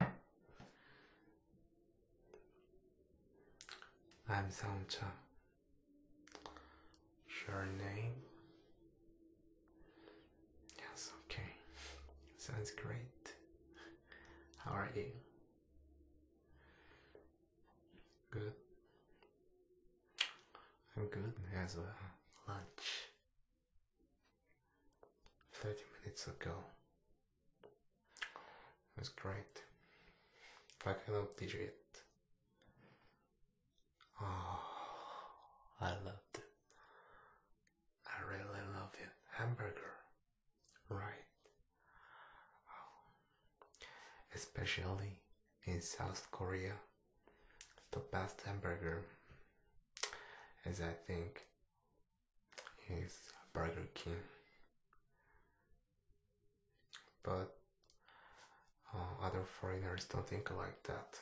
Hi. I'm Sangcha. Your name? Yes, okay. Sounds great. How are you? Good. I'm good as well. Lunch. 30 minutes ago. It was great. I cannot believe it. Oh, I loved it. I really love it. Hamburger, right? Especially in South Korea, the best hamburger is, I think, is Burger King. But uh, other foreigners don't think like that.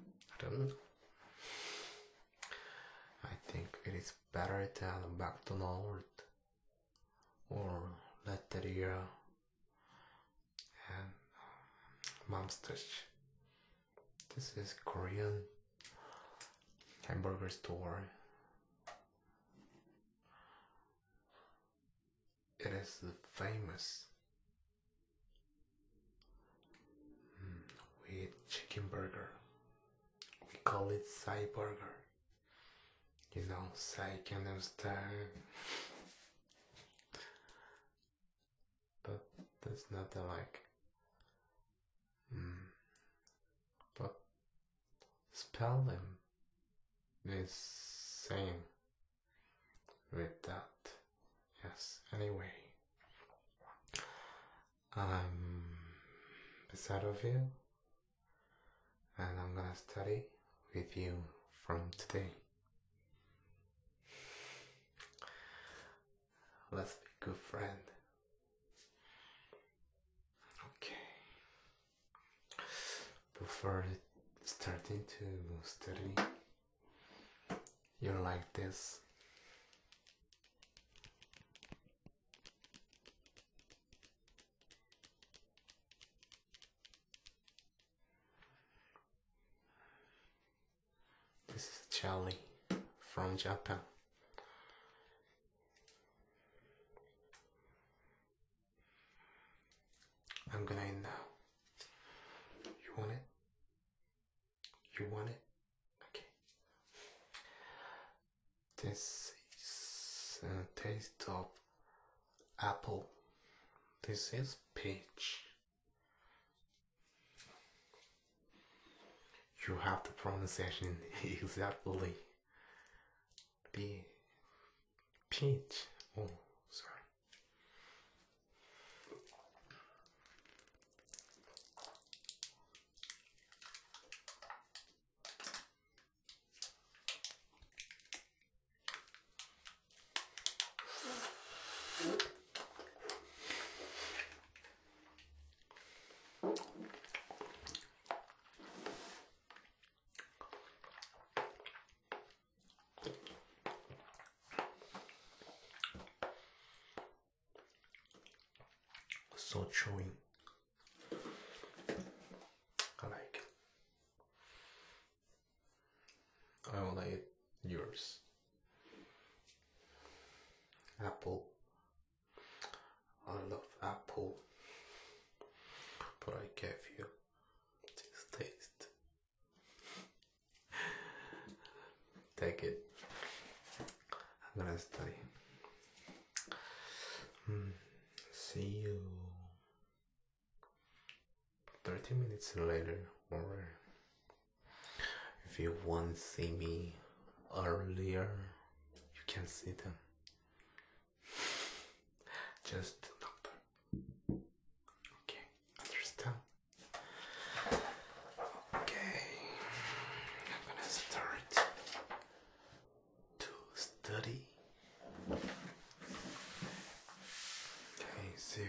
I don't know. I think it is better than McDonald's or Latteria and uh, Mom's this is Korean hamburger store. It is famous hmm, with chicken burger. We call it Sai burger. You know, Sai Gangnam style but there's nothing like. Mm. But spelling is same with that. Yes, anyway. I'm beside of you and I'm gonna study with you from today. Let's be good friends. Okay. Before starting to study, you're like this. This is Charlie from Japan. I'm gonna end now. You want it? You want it? Okay. This is a taste of apple. This is peach. You have the pronunciation exactly. Be pinch. Oh, sorry. So chewy. I like. It. I like yours. Apple. I love apple, but I gave you this taste. Take it. I'm gonna study. Mm. See you 30 minutes later or if you want to see me earlier, you can see them. Just the number. Okay, understand? Okay, I'm gonna start to study. Okay, see you.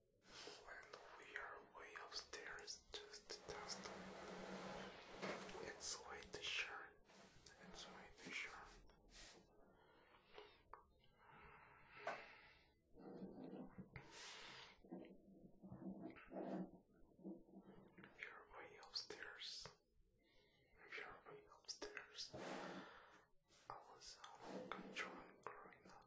When we are way upstairs, just dust. It's way too sharp. It's way too sharp. If are way upstairs, if are way upstairs, I was um, controlling growing up.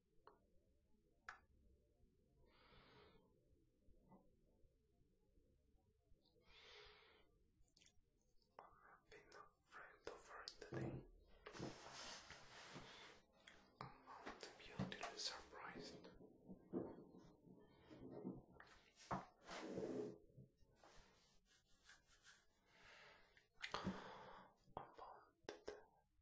I've a friend over the day. I want to be utterly surprised. I wanted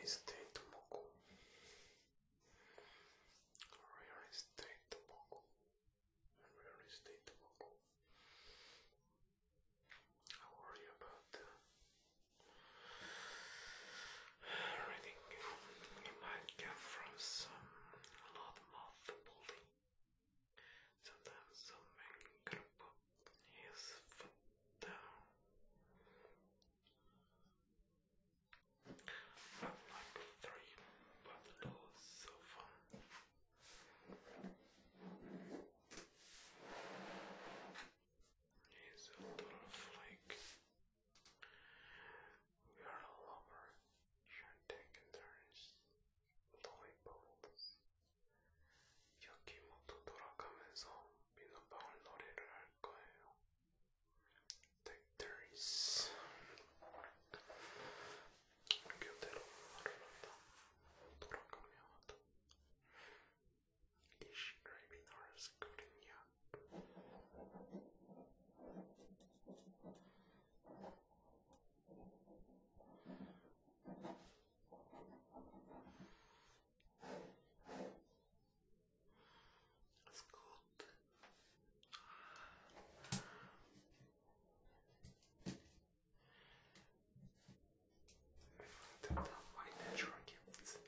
Real estate mogul. Reinstate the buckle. Reinstate the buckle. I worry about reading. It might come from some loudmouth building. Sometimes some man can put down. Number three, but lots of fun. He's a butterfly. We are all over. You are taking turns. Lollipops. 여기 모두 돌아가면서 비눗방울 놀이를 할 거예요. Think there is Is she dreaming or scolding you? That's good. That are my natural gifts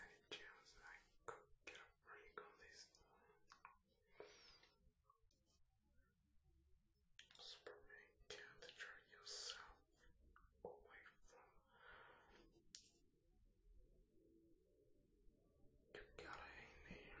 ideas I could get a break on this Superman can draw yourself away from you gotta hang there.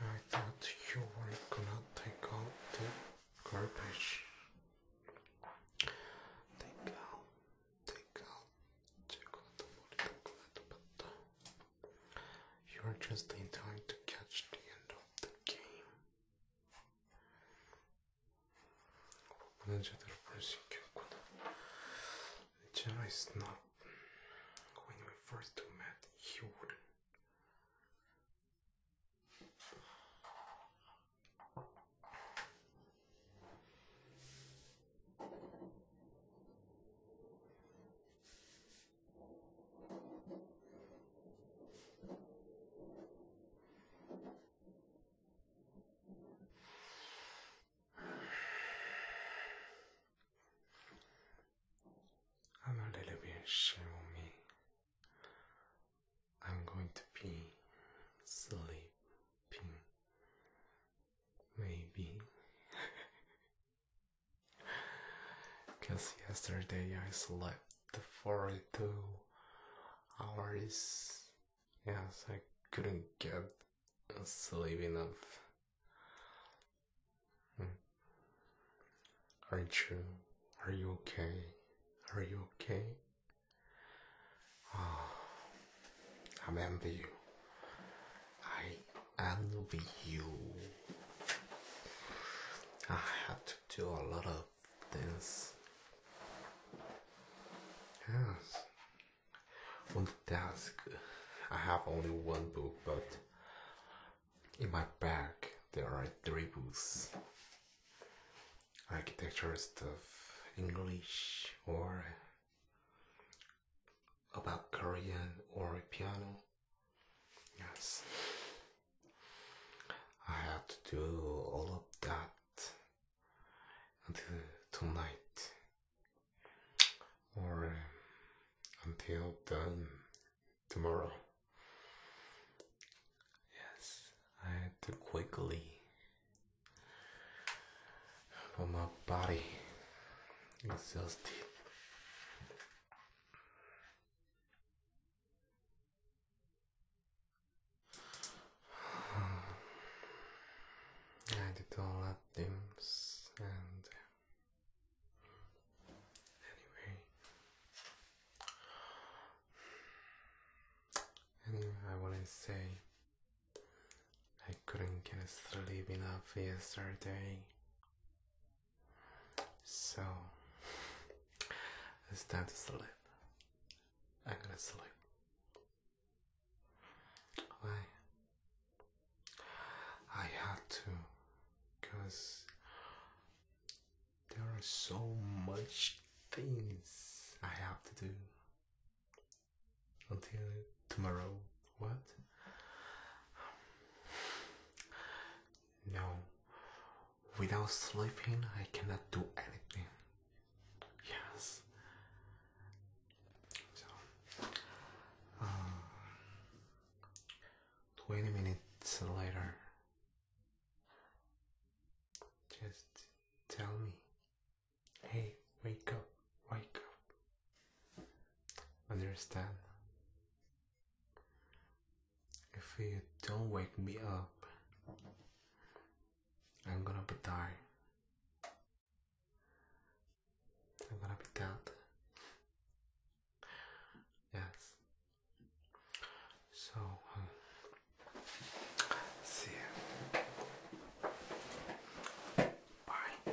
I thought you were gonna take out the garbage. Take out, take out, take out the but you are just in time to catch the end of the game. 오늘제대로 볼수 있겠구나. 제가 있나 when we first met, he would I'm a little bit shivering. I'm going to be sleeping. Maybe. Because yesterday I slept for two hours. Yes, I couldn't get sleep enough. Hmm. Aren't you? Are you okay? Are you okay? Oh, ah, I'm envy you. I envy you. I have to do a lot of things. Yes, on the desk. I have only one book, but in my bag there are three books architecture stuff, English, or about Korean or piano. Yes, I have to do all of that until tonight or until done tomorrow. Yes, I had to quickly for my body exhausted. I did all that things and Anyway, I wanna say I couldn't get sleep enough yesterday, so it's time to sleep. I'm gonna sleep. Why? I have to because there are so much things I have to do until tomorrow. What? No. Without sleeping, I cannot do anything. Yes. So, uh, 20 minutes later. Just tell me, hey, wake up, wake up. Understand? If you don't wake me up, I'm gonna die. I'm gonna be dead. Yes. So, um, see Bye.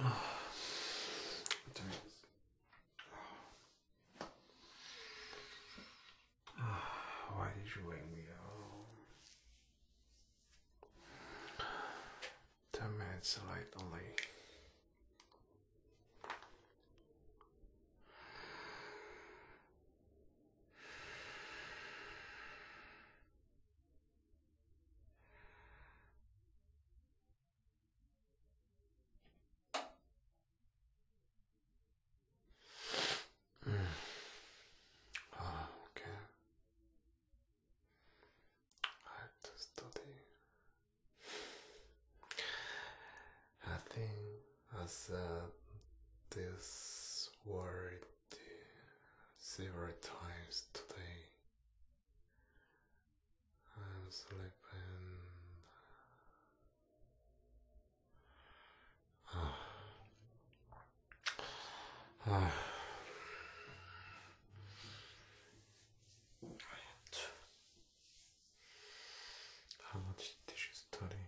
Oh. Oh. did you wake me up? Ten minutes late okay. I have to study. I think as this word several times today. I'm sleeping. Ah. ah. How much did you study?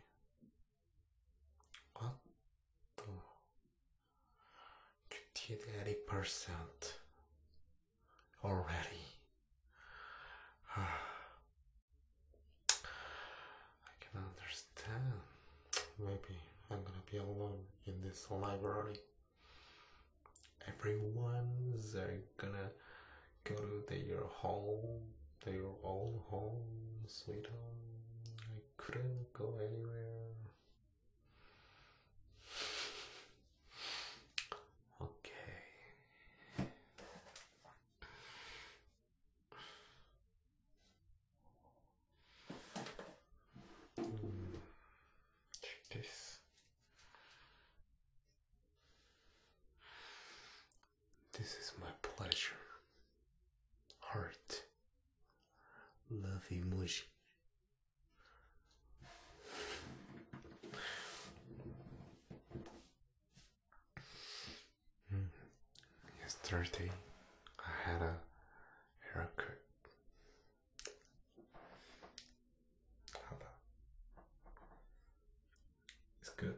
What? did eighty percent already. I can understand. Maybe I'm gonna be alone in this library. Everyone's are uh, gonna go to their home, their own home, sweet home. I couldn't go anywhere. Okay. Mm. this. This is my pleasure. Heart. Love emoji. Mm. Yesterday, I had a haircut. How It's good.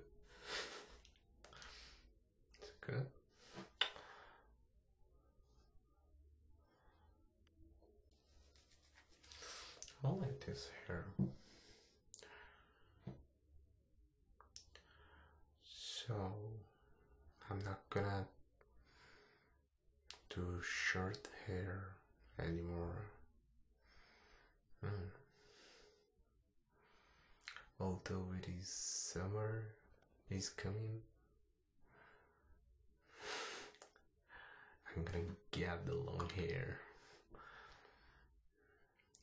It's good. I like this hair. So I'm not gonna do short hair anymore. Hmm. Although it is summer is coming, I'm gonna get the long hair.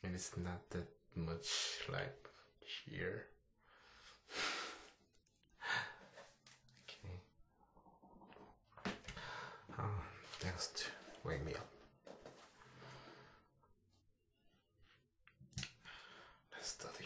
And it's not that much like here. okay. Oh, ah, thanks to wake me up. Let's study.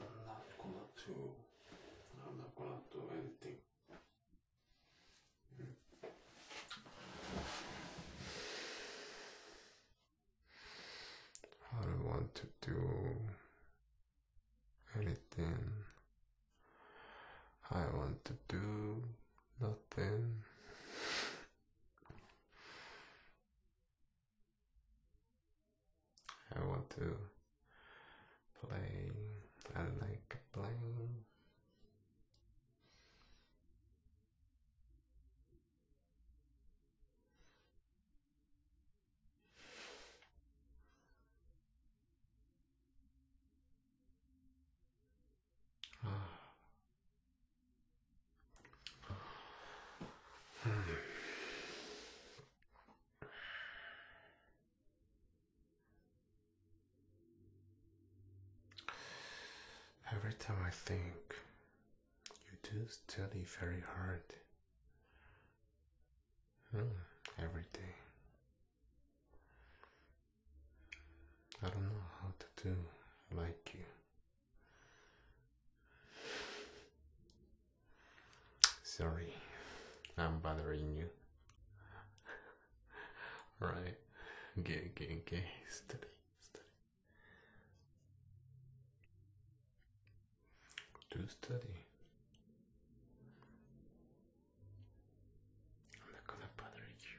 I'm not gonna do. I'm not gonna do anything. I don't want to do anything. I want to do nothing. I want to play. I like playing. Hmm. Every time I think you do study very hard mm, every day. I don't know how to do like you. Sorry, I'm bothering you. right, okay, okay, okay, steady, steady. Do study. I'm not gonna bother you.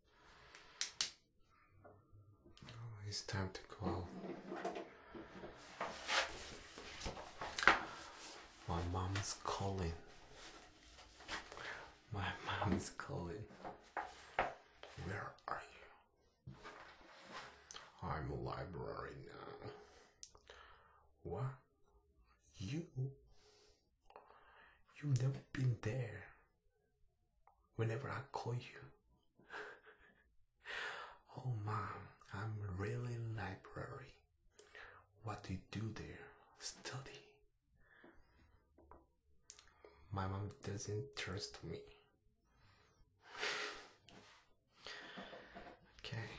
Oh, it's time to go. My mom's calling. My mom is calling. Where are you? I'm a library now. What? You? You've never been there whenever I call you. oh, mom, I'm really library. What do you do there? Study. My mom doesn't trust me. okay.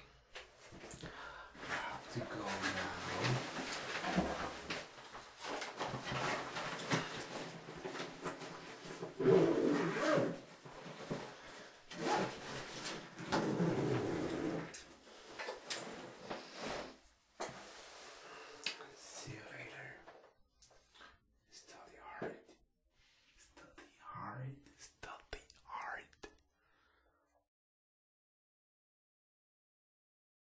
I have to go now. See you later. Study hard. Study hard. Study hard.